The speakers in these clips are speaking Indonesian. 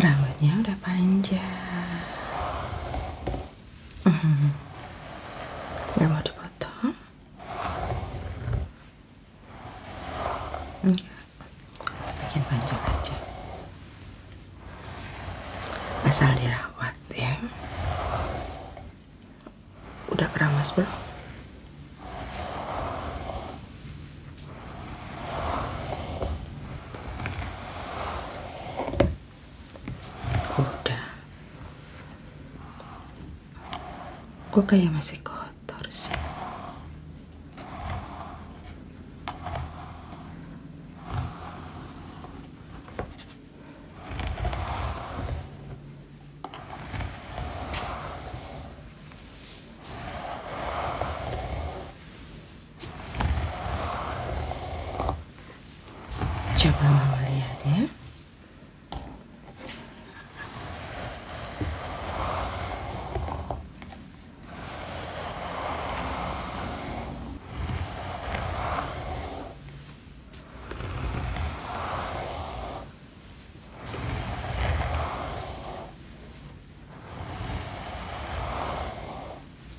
Rambutnya udah panjang. Mm -hmm. 왜 bikin panjang aja asal dirawat ya udah keramas belum? udah kok kayak masih kotor sih Coba mama lihat ya.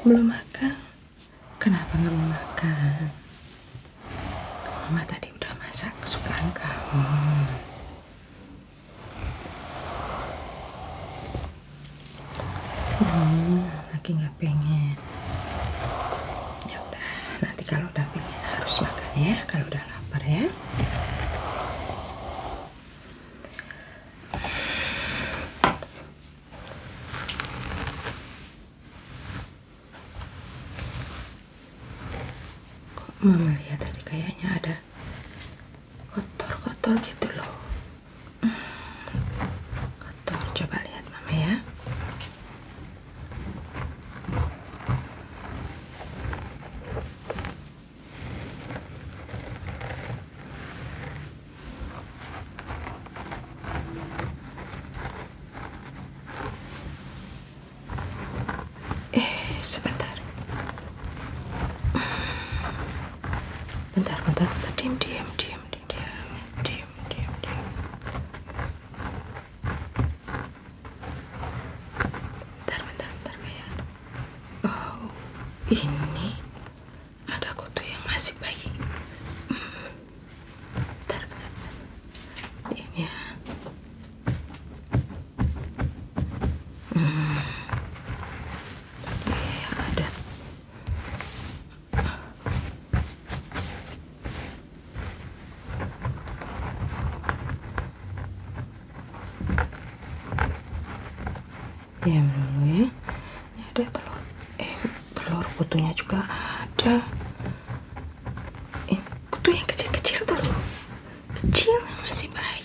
belum makan? Kenapa nggak mau makan? Mama tadi udah masak kesukaan kamu hmm, lagi nggak pengen ya udah nanti kalau udah pengen harus makan ya kalau udah lapar ya Mama lihat tadi kayaknya ada kotor-kotor gitu loh kotor coba lihat mama ya Eh, sebentar bentar bentar bentar diem diem diem diem diem diem diem bentar bentar bentar kayak oh ini ada kutu yang masih bayi bentar bentar, bentar. diam ya hmm. Iya, ada diam dulu ya ini ada telur eh telur kutunya juga ada eh kutu yang kecil-kecil dulu kecil masih bayi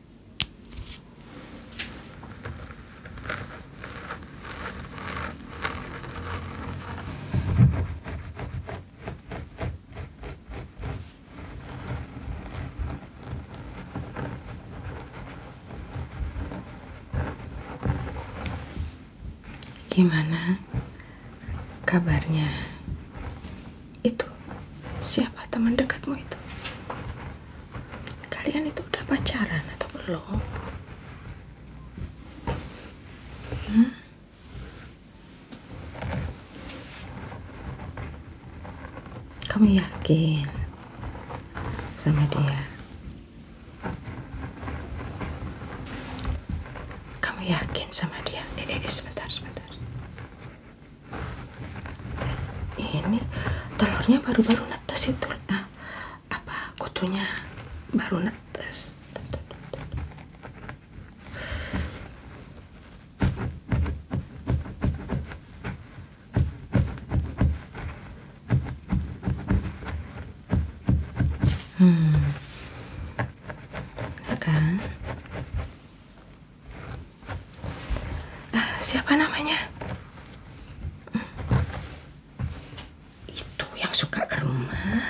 Gimana kabarnya? itu siapa teman dekatmu itu kalian itu udah pacaran atau belum hmm? kamu yakin sama dia kamu yakin sama dia ini, eh, ini eh, eh, sebentar sebentar ini telurnya baru-baru netes itu nah, apa kutunya baru netes Hmm. kan? Eh, siapa namanya itu yang suka ke rumah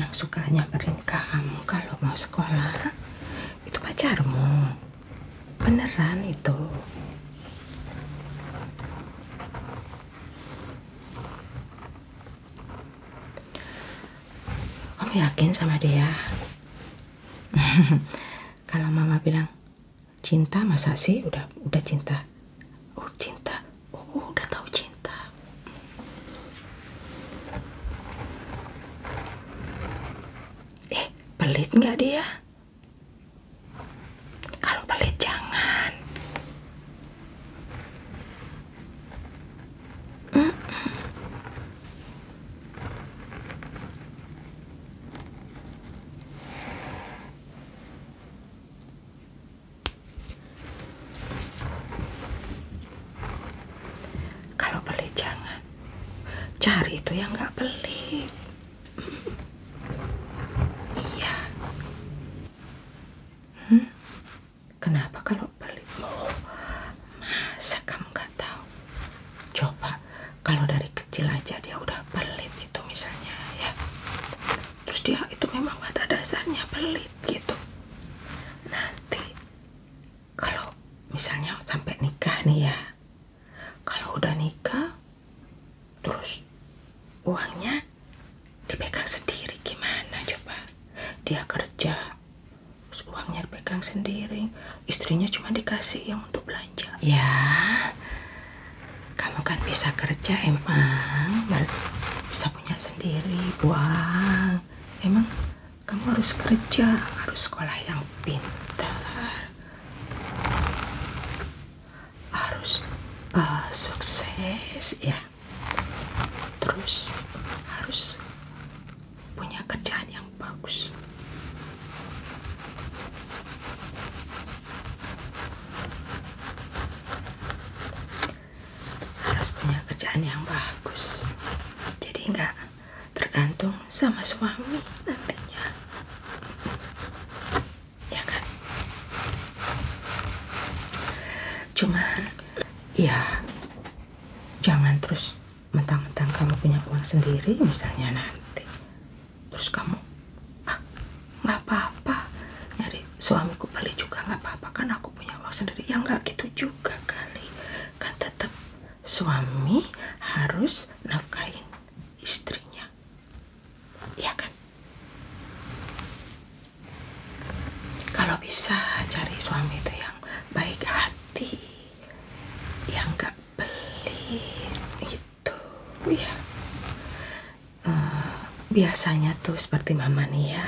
yang suka nyamperin kamu kalau mau sekolah itu pacarmu beneran itu kamu yakin sama dia kalau mama bilang cinta masa sih udah udah cinta oh cinta oh udah tahu cinta eh pelit nggak dia kalau pelit jangan kalau beli jangan cari itu yang nggak beli. Iya. Hmm? Kenapa kalau beli? mau oh, masak kamu nggak tahu coba kalau dari kecil aja dia udah pelit gitu misalnya ya terus dia itu memang pada dasarnya pelit gitu nanti kalau misalnya sampai nikah nih ya kalau udah nikah terus uangnya dipegang sendiri gimana coba dia kerja terus uangnya dipegang sendiri istrinya cuma dikasih yang untuk belanja. Ya, kamu kan bisa kerja emang, mas bisa punya sendiri, buang. Emang kamu harus kerja, harus sekolah yang pintar, harus uh, sukses, ya. Terus harus punya kerjaan yang yang bagus harus punya kerjaan yang bagus jadi nggak tergantung sama suami nantinya ya kan cuman ya jangan terus mentang-mentang kamu punya uang sendiri misalnya nanti terus kamu ah nggak apa-apa nyari suamiku beli juga nggak apa-apa kan aku punya uang sendiri ya nggak gitu juga kali kan tetap suami harus nafkain istrinya ya kan kalau bisa cari suami itu yang baik hati yang nggak beli iya, itu ya uh, biasanya tuh seperti mama nih ya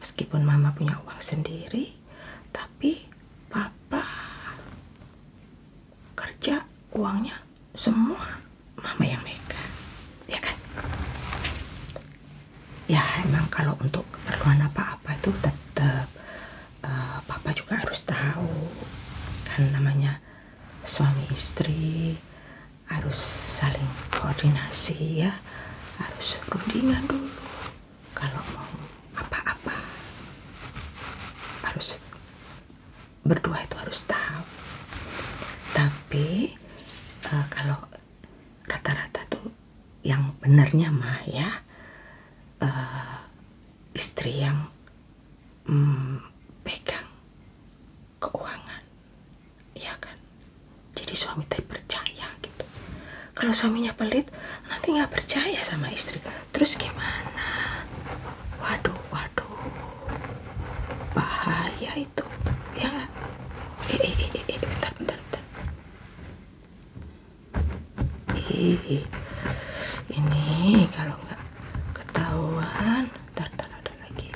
meskipun mama punya uang sendiri tapi papa kerja uangnya semua mama yang megang ya kan ya emang kalau untuk keperluan apa-apa itu tetap Eh, papa juga harus tahu kan namanya suami istri harus saling koordinasi ya harus rundingan dulu kalau mau apa-apa harus berdua itu harus tahu tapi eh, kalau rata-rata tuh yang benernya mah ya eh, istri yang hmm, pegang keuangan ya kan jadi suami teh percaya gitu kalau suaminya pelit nanti nggak percaya sama istri terus gimana waduh waduh bahaya itu ya nggak eh, eh, eh, eh, bentar bentar bentar Ih, ini kalau nggak ketahuan, ntar, ntar ada lagi.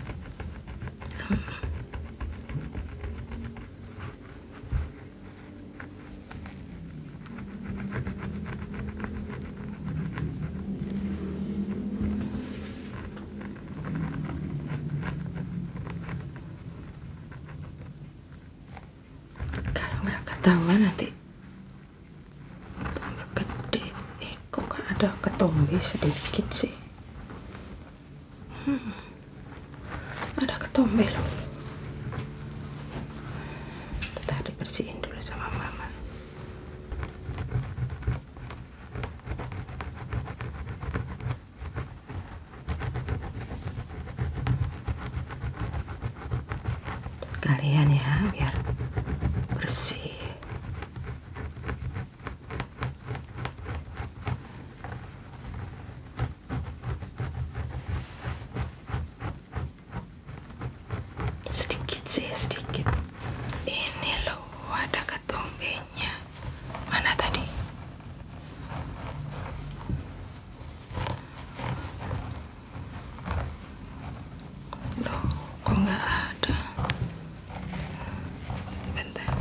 Hmm. kalau nggak ketahuan nanti tambah gede eh kok gak ada ketombe sedikit sih hmm. ada ketombe loh kita dibersihin dulu sama mama kalian ya biar bersih sedikit sih sedikit ini loh ada nya mana tadi loh kok nggak ada bentar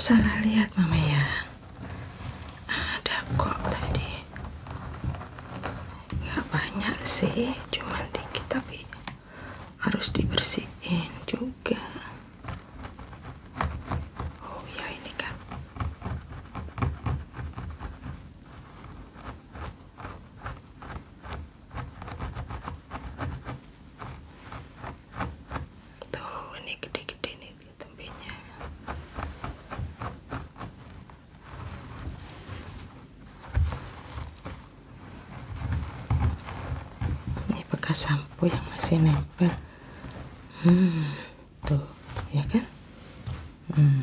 salah lihat mama ya ada kok tadi gak banyak sih cuman dikit tapi harus dibersihin juga oh ya ini kan tuh ini gede-gede nih tempenya ini bekas sampo yang masih nempel hmm, tuh ya kan hmm.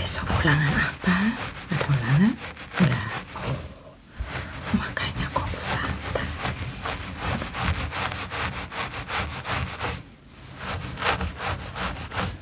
Besok pulangan apa? Ada ulangan? Enggak. Oh. Makanya kok santai.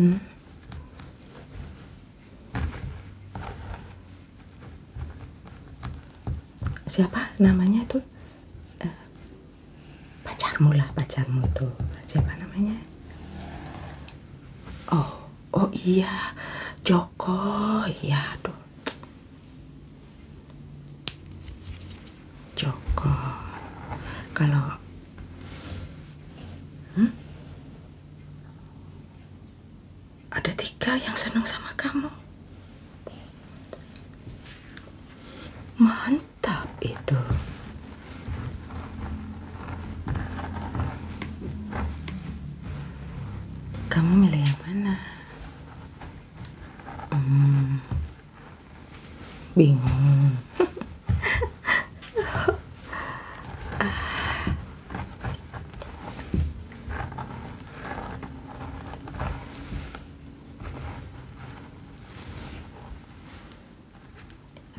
Hmm? Siapa namanya itu? Eh, pacarmu lah, pacarmu tuh. Siapa namanya? Oh, oh iya, Joko. Iya, tuh Jokor. Kalau hmm? ada tiga yang senang sama kamu. Mantap itu. Kamu milih yang mana? hmm, bingung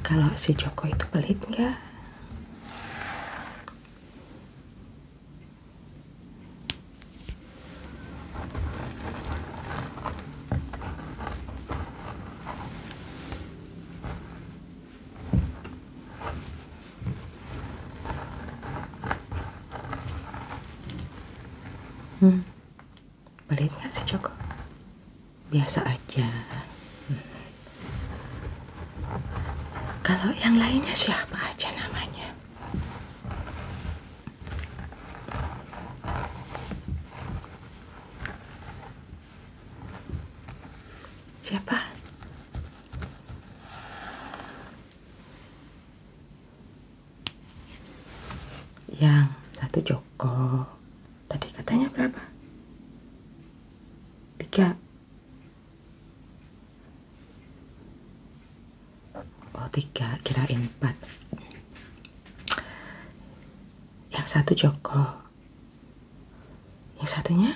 kalau si Joko itu pelit nggak? Hmm. Pelit gak sih Joko? Biasa aja. Hmm. Kalau yang lainnya siapa aja namanya? Siapa? Yang satu Joko. Tadi katanya berapa? Tiga oh tiga kira empat yang satu Joko yang satunya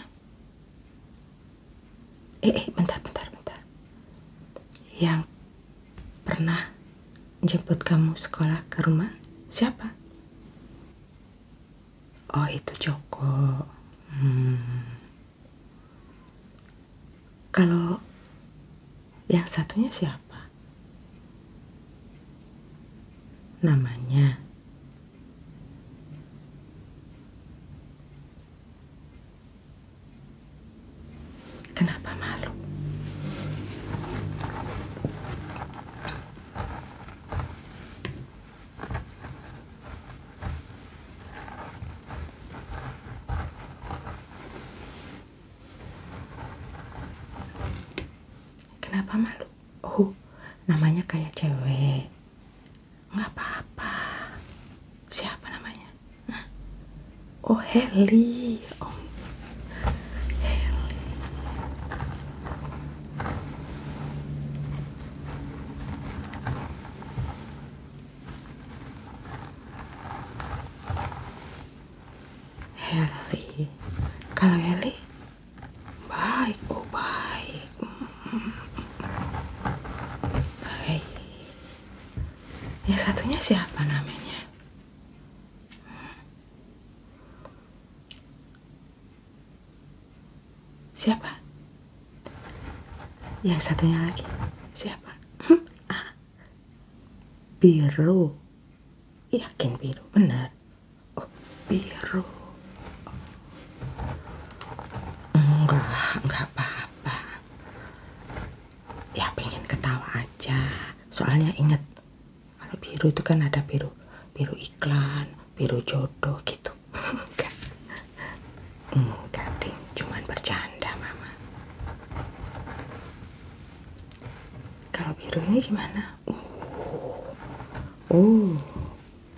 eh eh bentar bentar bentar yang pernah jemput kamu sekolah ke rumah siapa oh itu Joko hmm. Kalau yang satunya siapa? Namanya. Kenapa malu? Kenapa malu? Oh, namanya kayak cewek. Nggak apa-apa. Siapa namanya? Hah? Oh, Heli. Oh, Heli. Heli kalau Heli baik oh baik baik yang satunya siapa namanya siapa yang satunya lagi siapa ah, biru yakin biru benar oh, biru enggak enggak apa-apa ya pengen ketawa aja soalnya inget kalau biru itu kan ada biru biru iklan biru jodoh gitu Enggak deh, cuman bercanda mama. Kalau biru ini gimana? Oh, oh,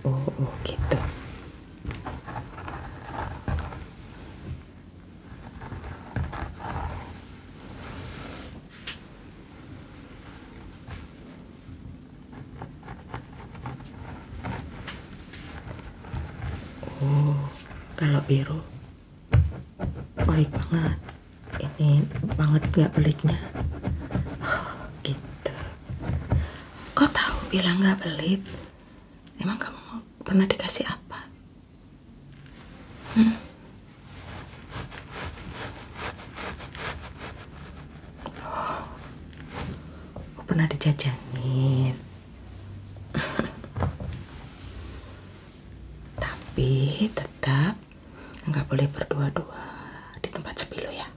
oh, oh gitu oh kalau biru baik banget ini banget nggak pelitnya. oh, gitu kok tahu bilang nggak pelit. emang kamu pernah dikasih apa hmm? Oh, pernah dijajanin Tapi tetap nggak boleh berdua-dua di tempat sepi lo ya. ya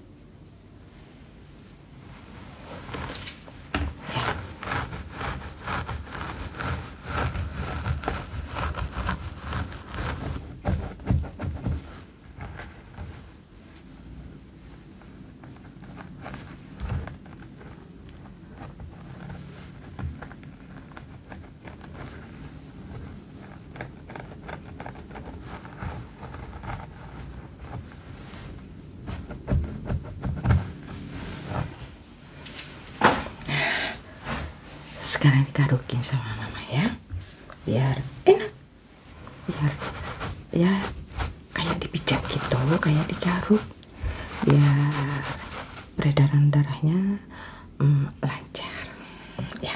sekarang dikarukin sama mama ya biar enak biar ya kayak dipijat gitu kayak dikaruk ya peredaran darahnya mm, lancar ya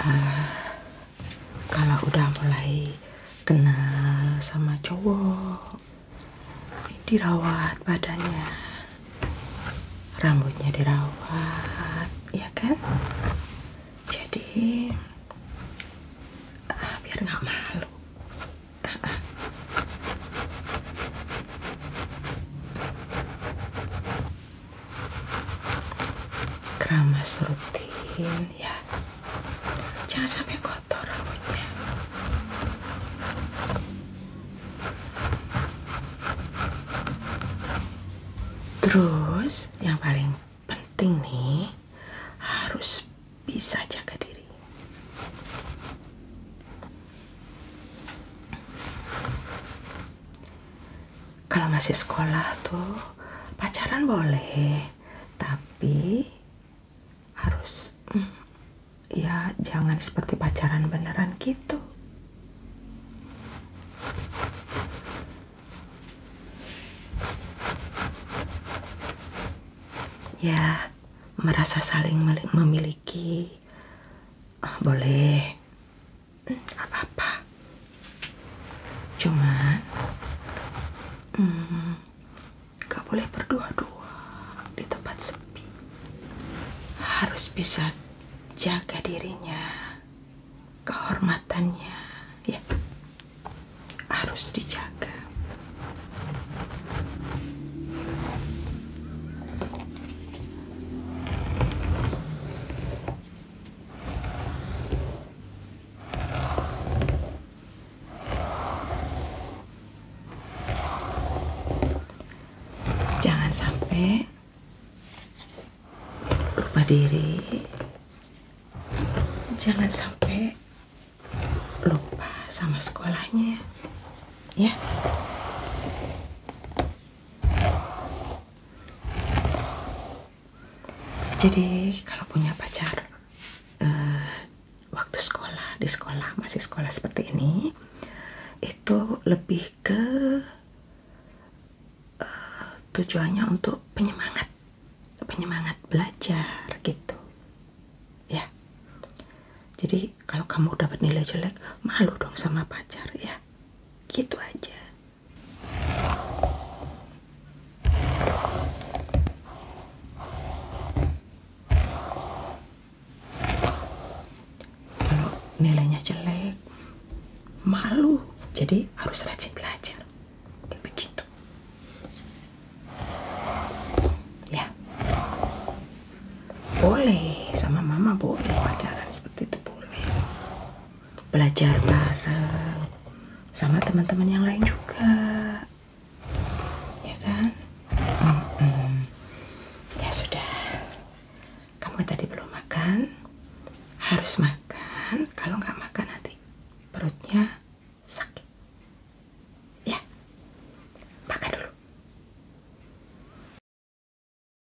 Eh, kalau udah mulai kenal sama cowok dirawat badannya rambutnya dirawat ya kan jadi eh, biar nggak malu keramas rutin ya jangan sampai kotor rambutnya terus yang paling penting nih harus bisa jaga diri kalau masih sekolah tuh pacaran boleh tapi harus mm, ya jangan seperti pacaran beneran gitu ya merasa saling memiliki ah, boleh apa-apa cuman hmm, boleh berdua-dua di tempat sepi harus bisa jaga dirinya kehormatannya ya harus dijaga Jangan sampai lupa diri. Jangan sampai lupa sama sekolahnya. Ya. Jadi kalau punya pacar uh, waktu sekolah di sekolah masih sekolah seperti ini itu lebih ke uh, tujuannya untuk penyemangat penyemangat belajar gitu ya. Jadi kalau kamu dapat nilai jelek malu dong sama pacar ya gitu aja kalau nilainya jelek malu jadi harus rajin belajar begitu ya boleh sama mama boleh pacaran seperti itu belajar bareng sama teman-teman yang lain juga ya kan mm -mm. ya sudah kamu tadi belum makan harus makan kalau nggak makan nanti perutnya sakit ya makan dulu